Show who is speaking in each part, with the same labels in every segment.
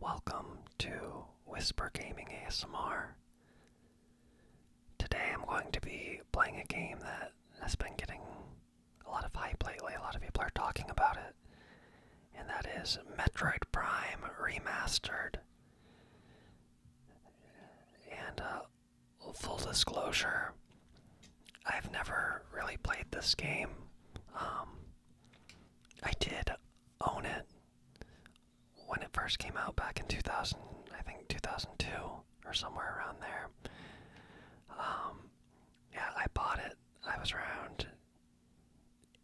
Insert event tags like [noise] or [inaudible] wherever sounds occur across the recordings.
Speaker 1: Welcome to Whisper Gaming ASMR. Today I'm going to be playing a game that has been getting a lot of hype lately. A lot of people are talking about it. And that is Metroid Prime Remastered. And uh, full disclosure, I've never really played this game. Um, I did own it when it first came out back in 2000, I think 2002 or somewhere around there. Um, yeah, I bought it. I was around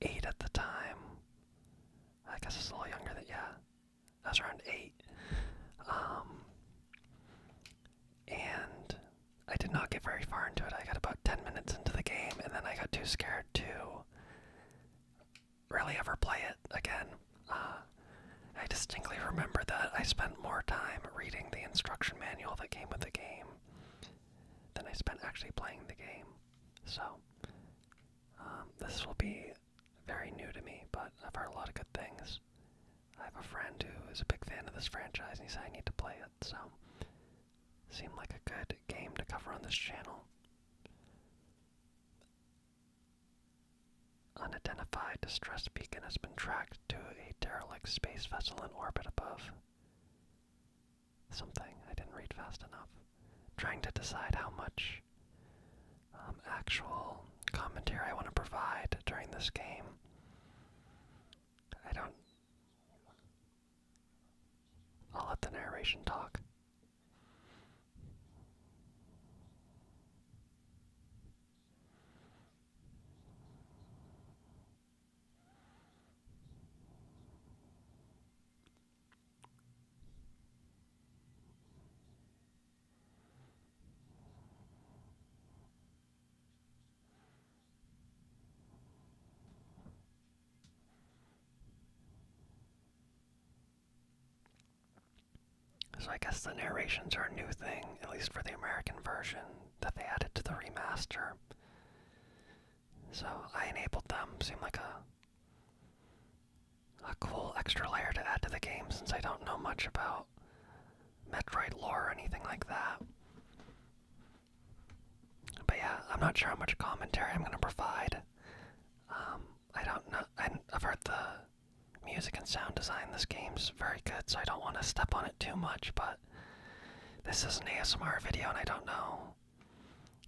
Speaker 1: eight at the time. I guess it's a little younger than yeah. I was around eight. Um, and I did not get very far into it. I got about 10 minutes into the game, and then I got too scared to really ever play it again. Uh, I distinctly remember that I spent more time reading the instruction manual that came with the game than I spent actually playing the game. So, um, this will be very new to me, but I've heard a lot of good things. I have a friend who is a big fan of this franchise, and he said I need to play it, so Seem like a good game to cover on this channel. Unidentified distressed beacon has been tracked to a derelict space vessel in orbit above. Something I didn't read fast enough. Trying to decide how much um, actual commentary I want to provide during this game. I don't. I'll let the narration talk. So I guess the narrations are a new thing, at least for the American version, that they added to the remaster. So I enabled them. Seemed like a a cool extra layer to add to the game since I don't know much about Metroid lore or anything like that. But yeah, I'm not sure how much commentary I'm gonna provide. Um, I don't know. I've heard the music and sound design in this game's very good, so I don't want to step on it too much. But this is an ASMR video, and I don't know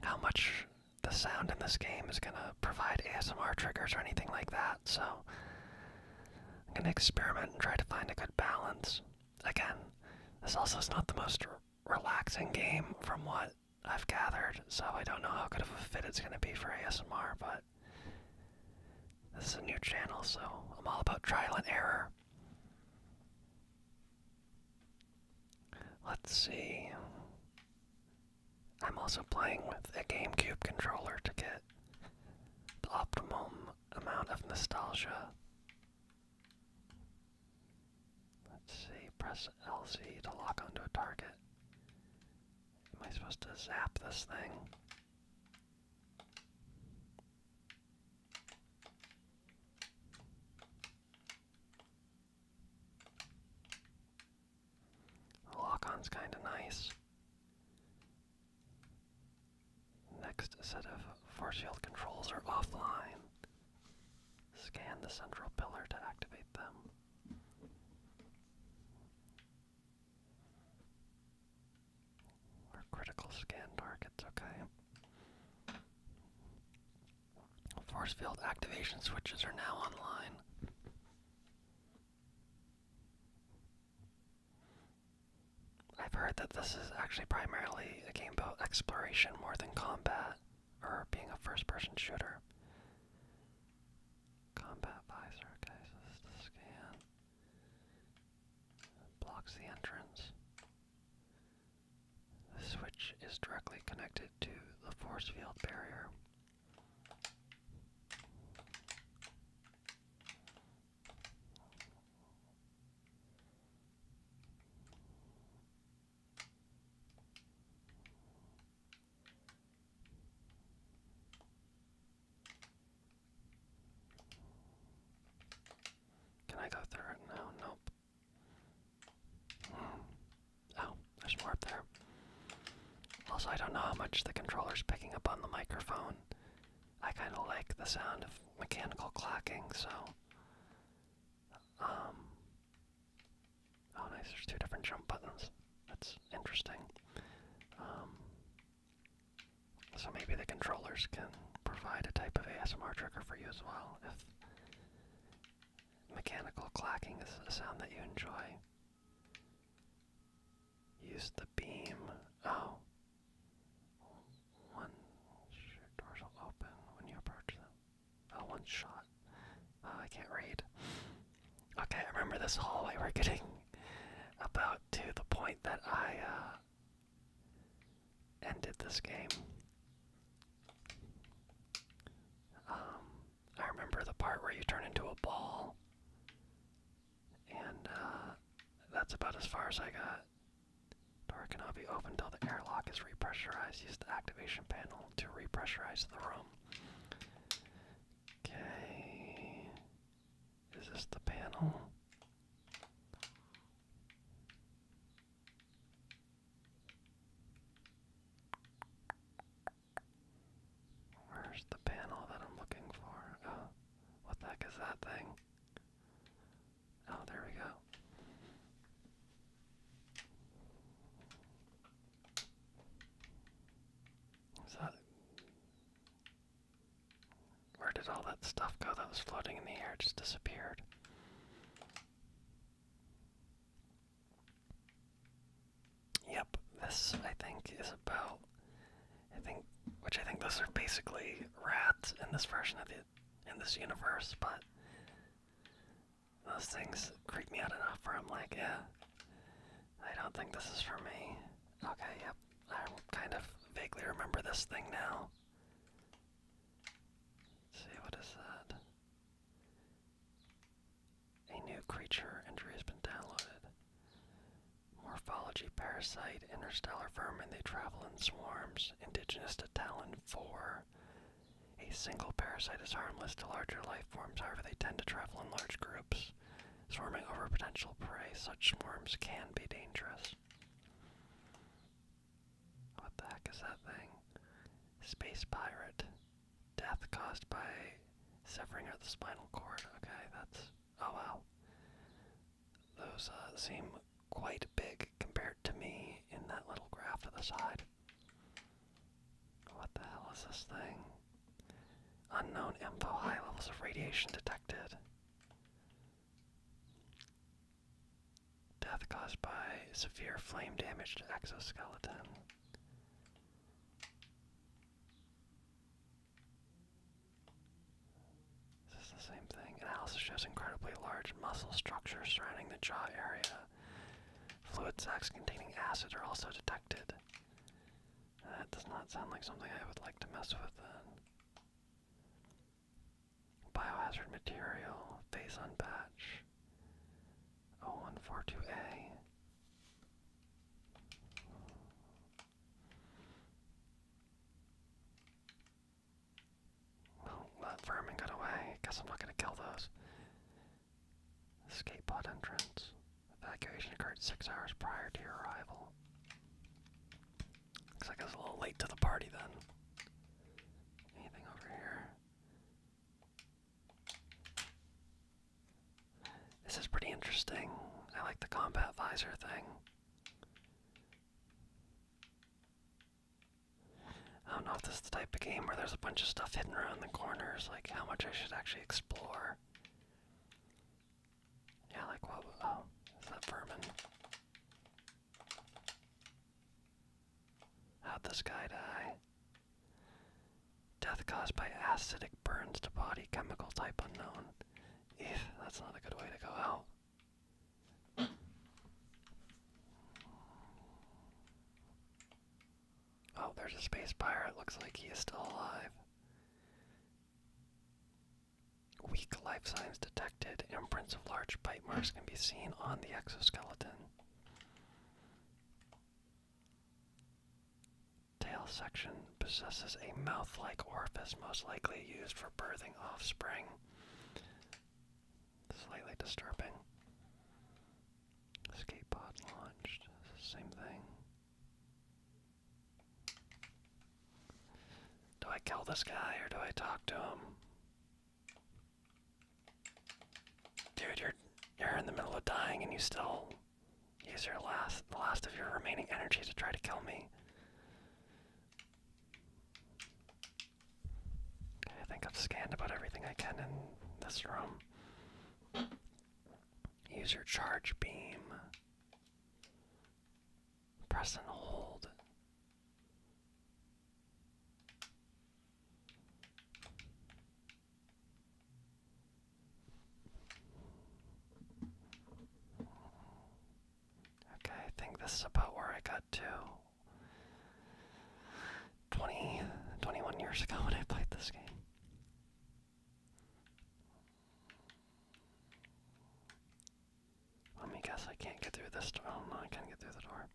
Speaker 1: how much the sound in this game is gonna provide ASMR triggers or anything like that. So I'm gonna experiment and try to find a good balance again, this also is not the most relaxing game from what I've gathered, so I don't know how good of a fit it's going to be for ASMR, but this is a new channel, so I'm all about trial and error. Let's see. I'm also playing with a GameCube controller to get the optimum amount of nostalgia Let's see, press LC to lock onto a target. Am I supposed to zap this thing? lock on's kinda nice. Next set of force field controls are offline. Scan the central pillar to activate them. Or critical scan targets, okay. Force field activation switches are now online. I've heard that this is actually primarily a game about exploration more than combat or being a first person shooter. Combat visor, okay, so this scan. Blocks the entrance. The switch is directly connected to the force field barrier. Can I go through it now? Nope. Hmm. Oh, there's more up there. Also, I don't know how much the controller's picking up on the microphone. I kind of like the sound of mechanical clacking, so. Um, oh, nice. There's two different jump buttons. That's interesting. Um, so maybe the controllers can provide a type of ASMR trigger for you as well if mechanical clacking is a sound that you enjoy. Use the beam. Oh, once door shall open when you approach them. Oh, one shot. Oh, I can't read. Okay, I remember this hallway. We're getting about to the point that I uh, ended this game. Um, I remember the part where you turn into a ball, and uh, that's about as far as I got. Door cannot be opened until the airlock is repressurized. Use the activation panel to repressurize the room. Okay. Is this the panel? Where's the panel that I'm looking for? Oh, what the heck is that thing? Oh, there we go. Is Where did all that stuff go that was floating in the air? It just disappeared. Yep, this I think is about I think, which I think those are basically rats in this version of the in this universe, but those things creep me out enough where I'm like, yeah, I don't think this is for me. Okay, yep, I kind of vaguely remember this thing now. see what is that? A new creature entry has been downloaded. Morphology parasite, interstellar vermin, they travel in swarms. Indigenous to Talon 4. A single parasite is harmless to larger life forms, however, they tend to travel in large groups. Swarming over potential prey, such swarms can be dangerous. What the heck is that thing? Space pirate. Death caused by severing of the spinal cord. Okay, that's Oh wow. Those uh, seem quite big compared to me in that little graph to the side. What the hell is this thing? Unknown info, high levels of radiation detected. Death caused by severe flame damage to exoskeleton. Is this the same thing? Analysis shows incredibly large muscle structures surrounding the jaw area. Fluid sacs containing acid are also detected. That does not sound like something I would like to mess with then. Biohazard material, phase on batch, a well, that vermin got away. Guess I'm not gonna kill those. Escape pod entrance. Evacuation occurred six hours prior to arrival. Looks like I was a little late to the party then. Anything over here? This is pretty interesting. I like the combat visor thing. I don't know if this is the type of game where there's a bunch of stuff hidden around the corners, like how much I should actually explore. Yeah, like what? Oh, is that vermin? How'd this guy die? Death caused by acidic burns to body, chemical type unknown that's not a good way to go out. Oh, there's a space pirate. Looks like he is still alive. Weak life signs detected. Imprints of large bite marks can be seen on the exoskeleton tail section possesses a mouth like orifice, most likely used for birthing offspring. Slightly disturbing. Escape launched. Same thing. Do I kill this guy or do I talk to him? Dude, you're you're in the middle of dying and you still Use your last, the last of your remaining energy to try to kill me. Okay, I think I've scanned about everything I can in this room. Use your charge beam. Press and hold. Okay, I think this is about where I got to 20, 21 years ago when I played this game. Let me guess I can't get through this door. Oh, no, I can't get through the door.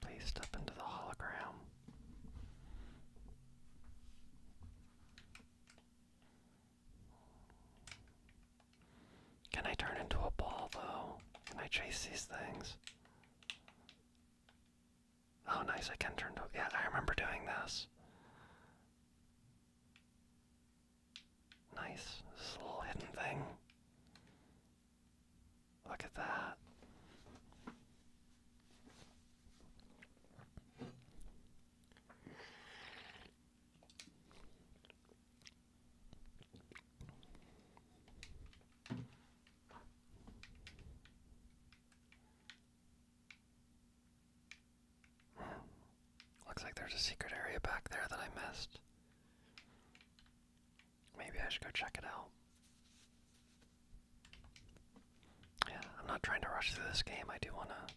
Speaker 1: Please step into the hologram. Can I turn into a ball though? Can I chase these things? Oh, nice. I can turn to. Yeah, I remember doing this. Nice. This little hidden thing. Look at that. Looks like there's a secret area back there that I missed. Maybe I should go check it out. Yeah, I'm not trying to rush through this game. I do want to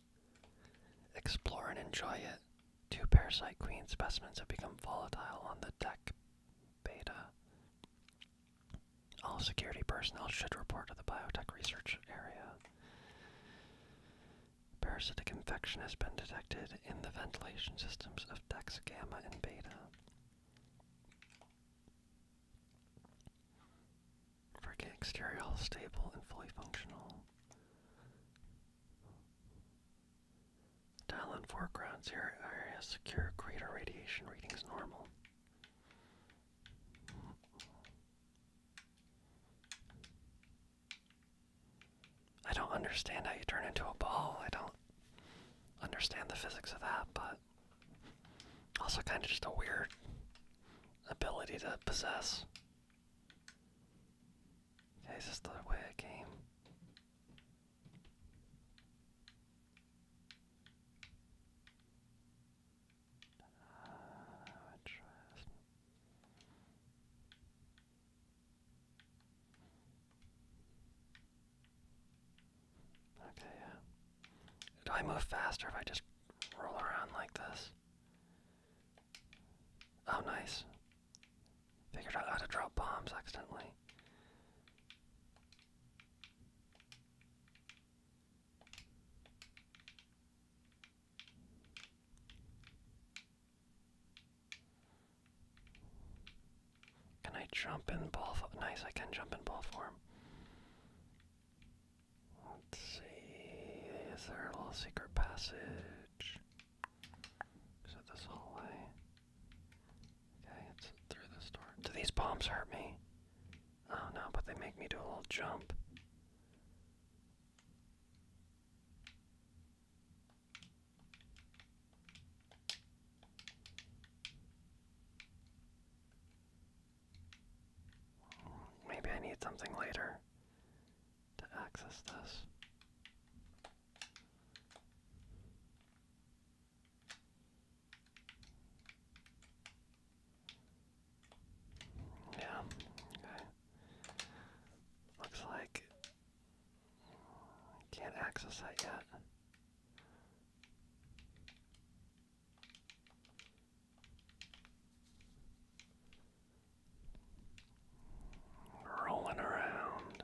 Speaker 1: explore and enjoy it. Two parasite queen specimens have become volatile on the deck beta. All security personnel should report to the biotech research area. Parasitic infection has been detected in the ventilation systems of Dex Gamma and Beta. Frigate exterior stable and fully functional. Dial in foreground area secure crater radiation readings normal. I don't understand how you turn into a ball. I don't understand the physics of that, but also kind of just a weird ability to possess. Okay, is the way it came? interesting. Okay, Do I move faster if I just roll around like this? Oh, nice. Figured out how to drop bombs accidentally. Can I jump in ball? Nice, I can jump in ball form. Let's see, is there a little secret passage? Is it this hallway? Okay, it's through this door. Do these bombs hurt me? Oh no, but they make me do a little jump. Maybe I need something later to access this. Yeah, okay. Looks like I can't access that yet. Rolling around.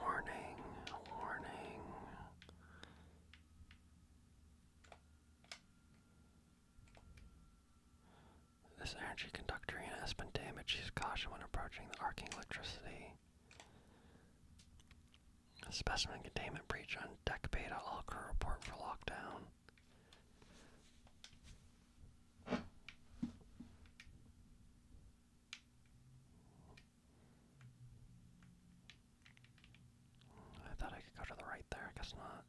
Speaker 1: Warning, warning. This energy conductorina has been damaged. Use caution when approaching the arcing electricity. specimen containment breach on deck beta. All report for lockdown. I thought I could go to the right there, I guess not.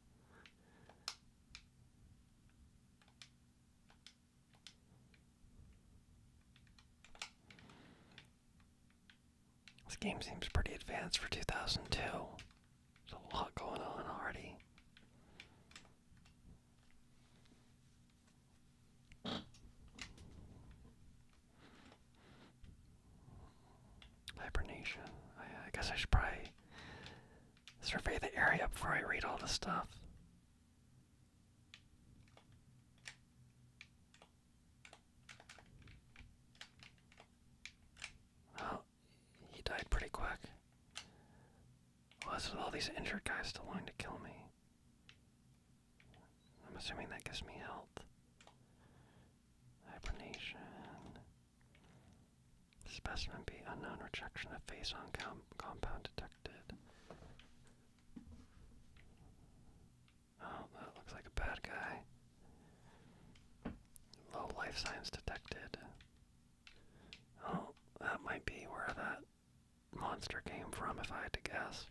Speaker 1: This game seems pretty advanced for 2002. There's a lot going on already. Hibernation. I, guess I should probably survey the area before I read all this stuff. Well, he died pretty quick. Well, that's with all these injured guys still wanting to kill me. I'm assuming that gives me health. Hibernation. Specimen B. Unknown rejection of phase on compound detected. Oh, that looks like a bad guy. Low life signs detected. Oh, that might be where that monster came from, if I had to guess.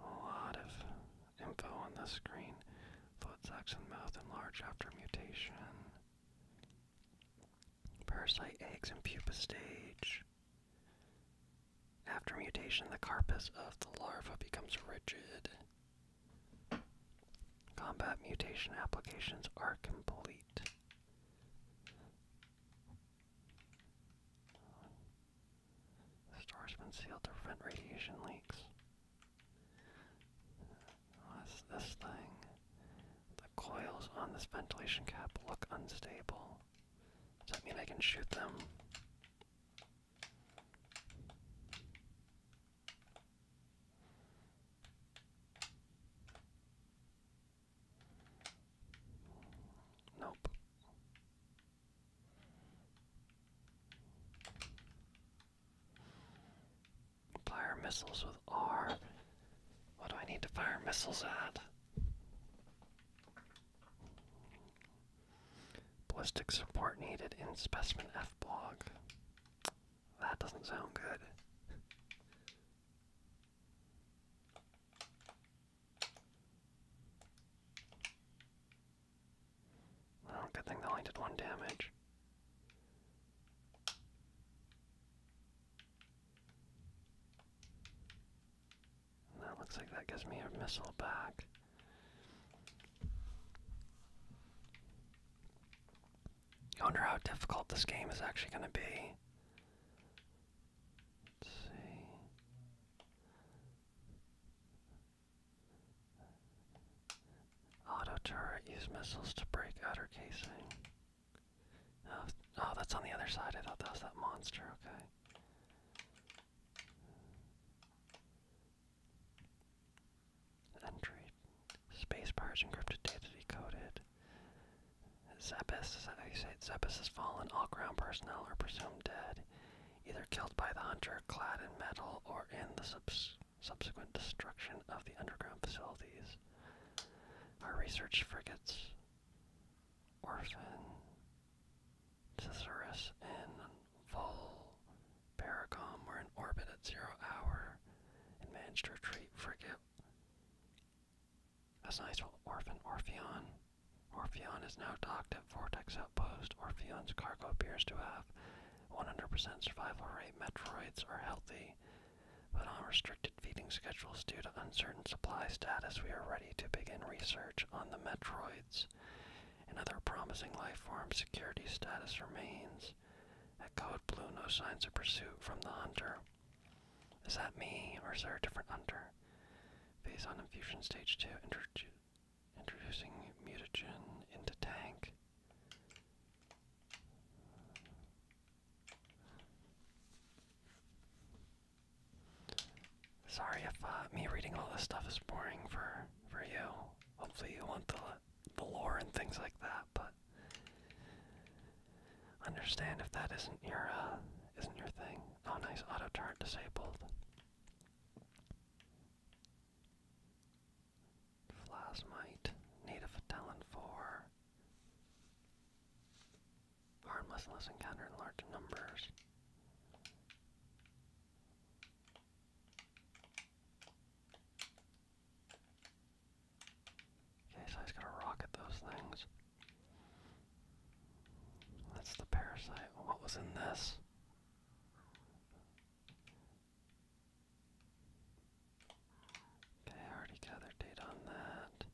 Speaker 1: A lot of info on this screen. Foot sucks mouth enlarge after mutation. Parasite eggs in pupa stage. After mutation, the carapace of the larva becomes rigid. Combat mutation applications are complete. The store's been sealed to prevent radiation leaks. What's this thing? The coils on this ventilation cap look unstable. Does that mean I can shoot them? Nope. Fire missiles with R. What do I need to fire missiles at? Ballistic support needed in specimen F block. That doesn't sound good. Well, oh, good thing they only did one damage. that looks like that gives me a missile back. I wonder how difficult this game is actually going to be. Let's missiles to break outer casing. Oh, oh, that's on the other side. I thought that was that monster. Okay. Entry. Space bars encrypted data decoded. Zebes, is say it? has fallen. All ground personnel are presumed dead, either killed by the hunter, clad in metal, or in the subsequent destruction of the underground facilities. Our research frigates, Orphan, Cicerus, and Vol Paracom were in orbit at zero hour and managed to retreat frigate that's a nice orphan Orpheon. Orpheon is now docked at Vortex Outpost. Orpheon's cargo appears to have 100% survival rate. Metroids are healthy, but on restricted feeding schedules due to uncertain supply status, we are ready to begin research on the Metroids. Another promising life form security status remains. At Code Blue, no signs of pursuit from the hunter. Is that me, or is there a different under? Phase on infusion stage 2, introducing mutagen into tank. Sorry if uh, me reading all this stuff is boring for for you. Hopefully you want the the lore and things like that, but understand if that isn't your uh, isn't your thing. Oh, nice auto chart disabled. Plasmite, native talent four. Harmless unless encountered in large numbers. Okay, so he's gonna rocket those things. That's the parasite. What was in this? Okay, I already gathered data on that.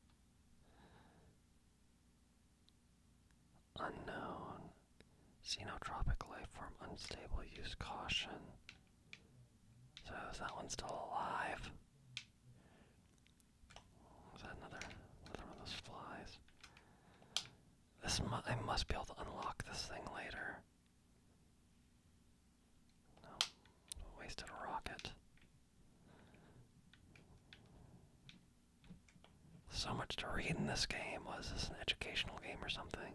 Speaker 1: Unknown. Xenotropic life unstable. Use caution. So is that one still alive? Is that another another one of those flies? This I must be able to unlock this thing later. No, wasted rocket. So much to read in this game. Was this an educational game or something?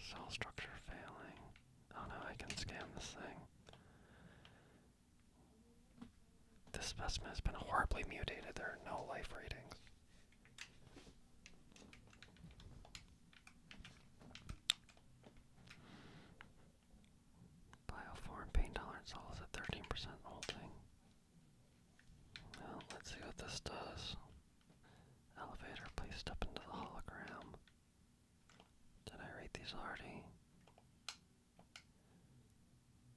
Speaker 1: Cell structure failing. Oh no, I can scam this thing. This specimen has been horribly mutated. There are no life readings. Bioform pain tolerance is at 13% holding. let's see what this does. Elevator, please step into the hologram. Did I read these already?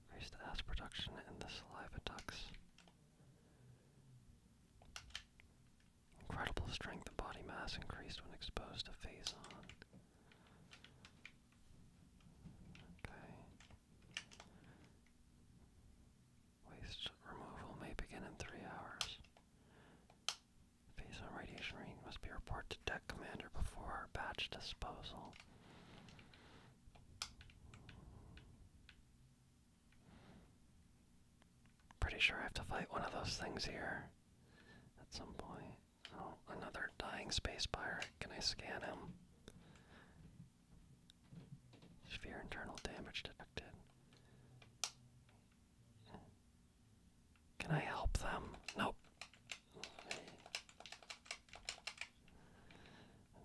Speaker 1: Increase the production in the saliva ducts. Incredible strength and body mass increased when exposed to phase on. Okay. Waste removal may begin in three hours. Phase on radiation rain must be reported to deck commander before batch disposal. Pretty sure I have to fight one of those things here at some point. Oh, another dying space pirate. Can I scan him? Sphere internal damage detected. Can I help them? Nope.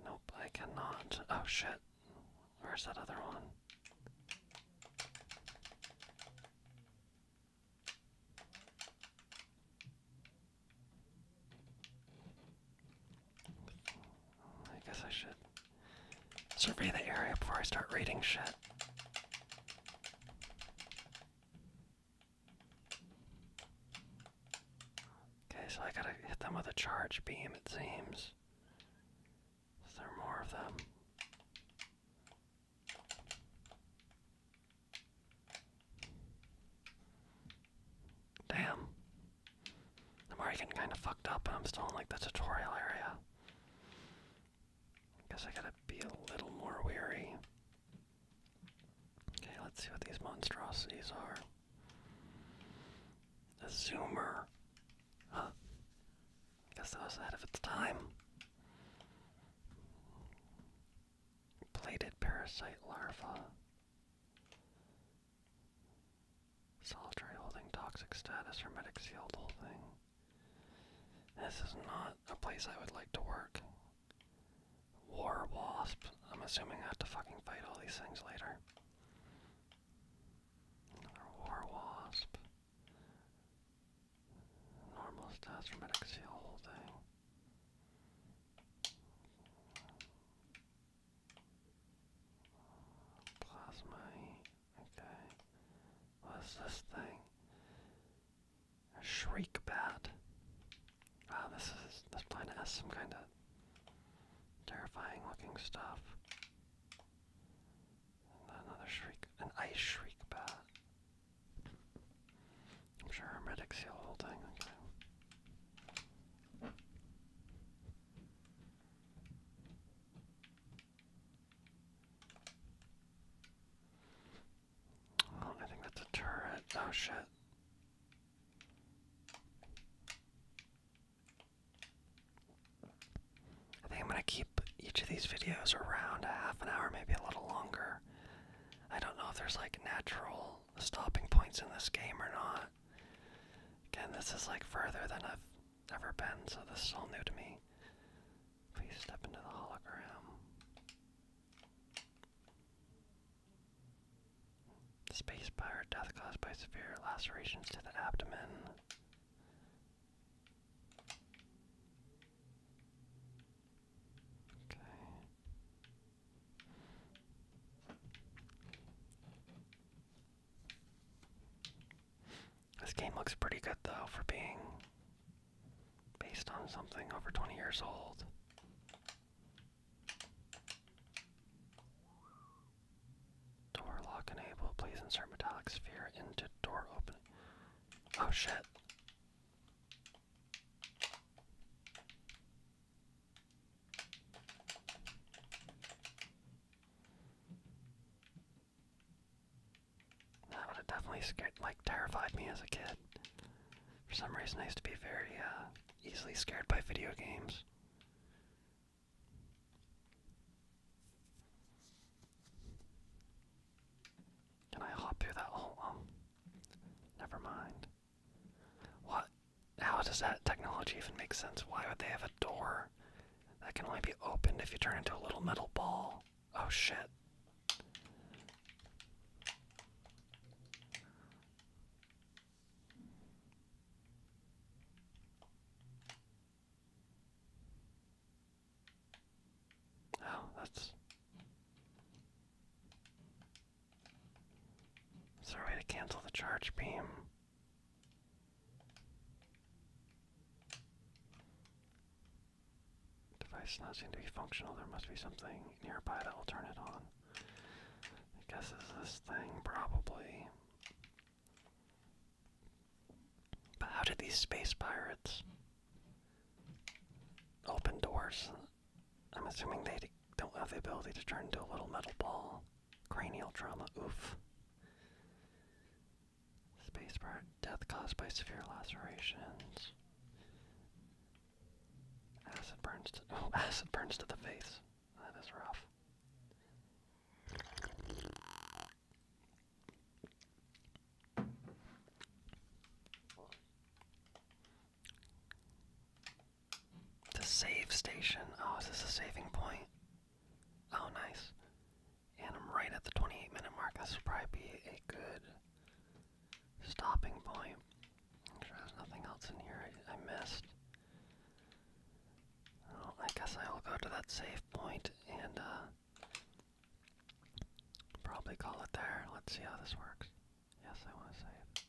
Speaker 1: Nope, I cannot. Oh shit. Where's that other one? I guess I should survey the area before I start reading shit. Okay, so I gotta hit them with a charge beam, it seems. Is there more of them? Damn. I'm already getting kind of fucked up, and I'm still in like the tutorial area. I guess I gotta be a little more wary. Okay, let's see what these monstrosities are. The zoomer. Huh. Guess that was ahead of its time. Plated parasite larva. Solitary holding toxic status, hermetic sealed whole thing. This is not a place I would like to work. War wasp. I'm assuming I have to fucking fight all these things later. war wasp. Normal stats, hermetic seal, whole thing. Plasma. Okay. What's this thing? A shriek bat. Wow, ah, this is this plane has some kind of terrifying looking stuff. another shriek, an ice shriek bat. I'm sure our medics see the whole thing. Okay. Oh, I think that's a turret. Oh shit. I think I'm going to keep each of these videos around a half an hour, maybe a little longer. I don't know if there's like natural stopping points in this game or not. Again, this is like further than I've ever been, so this is all new to me. Please step into the hologram. Space pirate death caused by severe lacerations to the abdomen. Okay. This game looks pretty good though for being based on something over 20 years old. Door lock enable. Please insert metallic sphere into door opening. Oh shit. That would have definitely scared, like, terrified me as a kid. For some reason, I used to be very uh, easily scared by video games. Can I hop through that hole? Um, never mind. What? How does that technology even make sense? Why would they have a door that can only be opened if you turn into a little metal ball? Oh shit. Oh, that's is there to cancel the charge beam? Device not seem to be functional. There must be something nearby that will turn it on. I guess is this thing probably. But how did these space pirates open doors I'm assuming they don't have the ability to turn into a little metal ball. Cranial trauma, oof. Spacebar, death caused by severe lacerations. Acid burns to, [laughs] oh, acid burns to the face. That is rough. The save station. Oh, is this a saving point? Oh, nice. And I'm right at the 28 minute mark. This will probably be a good stopping point. nothing else in here I, missed. Well, I guess I will go to that save point and uh, probably call it there. Let's see how this works. Yes, I want to save.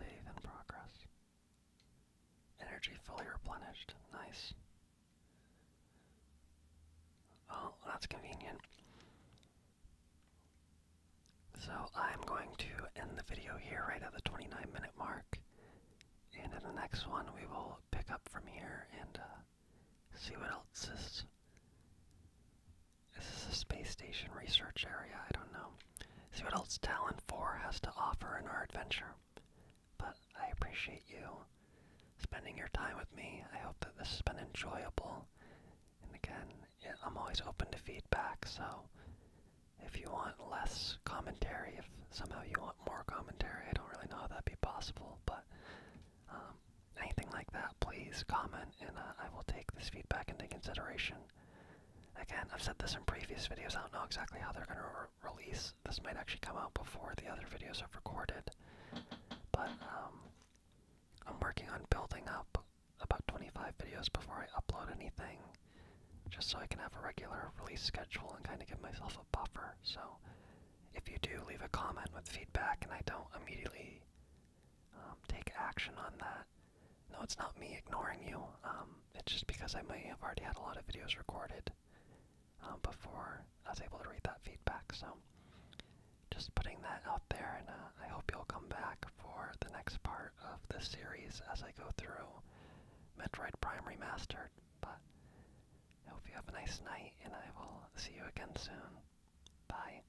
Speaker 1: Save and progress. Energy fully replenished. Nice. Oh, that's convenient. So I'm going to end the video here right at the 29 minute mark. And in the next one, we will pick up from here and uh, see what else is is this a space station research area? I don't know. See what else Talon 4 has to offer in our adventure. But I appreciate you spending your time with me. I hope that this has been enjoyable. And again, I'm always open to feedback, so if you want less commentary, if somehow you want more commentary, I don't really know how that'd be possible, but um, anything like that, please comment and uh, I will take this feedback into consideration. Again, I've said this in previous videos, I don't know exactly how they're going to release. This might actually come out before the other videos are recorded. But um, I'm working on building up about 25 videos before I upload anything, just so I can have a regular release schedule and kind of give myself a buffer. So if you do leave a comment with feedback and I don't immediately um, take action on that. No, it's not me ignoring you. Um, it's just because I may have already had a lot of videos recorded um, before I was able to read that feedback. So, just putting that out there, and uh, I hope you'll come back for the next part of this series as I go through Metroid Prime Remastered. But I hope you have a nice night, and I will see you again soon. Bye.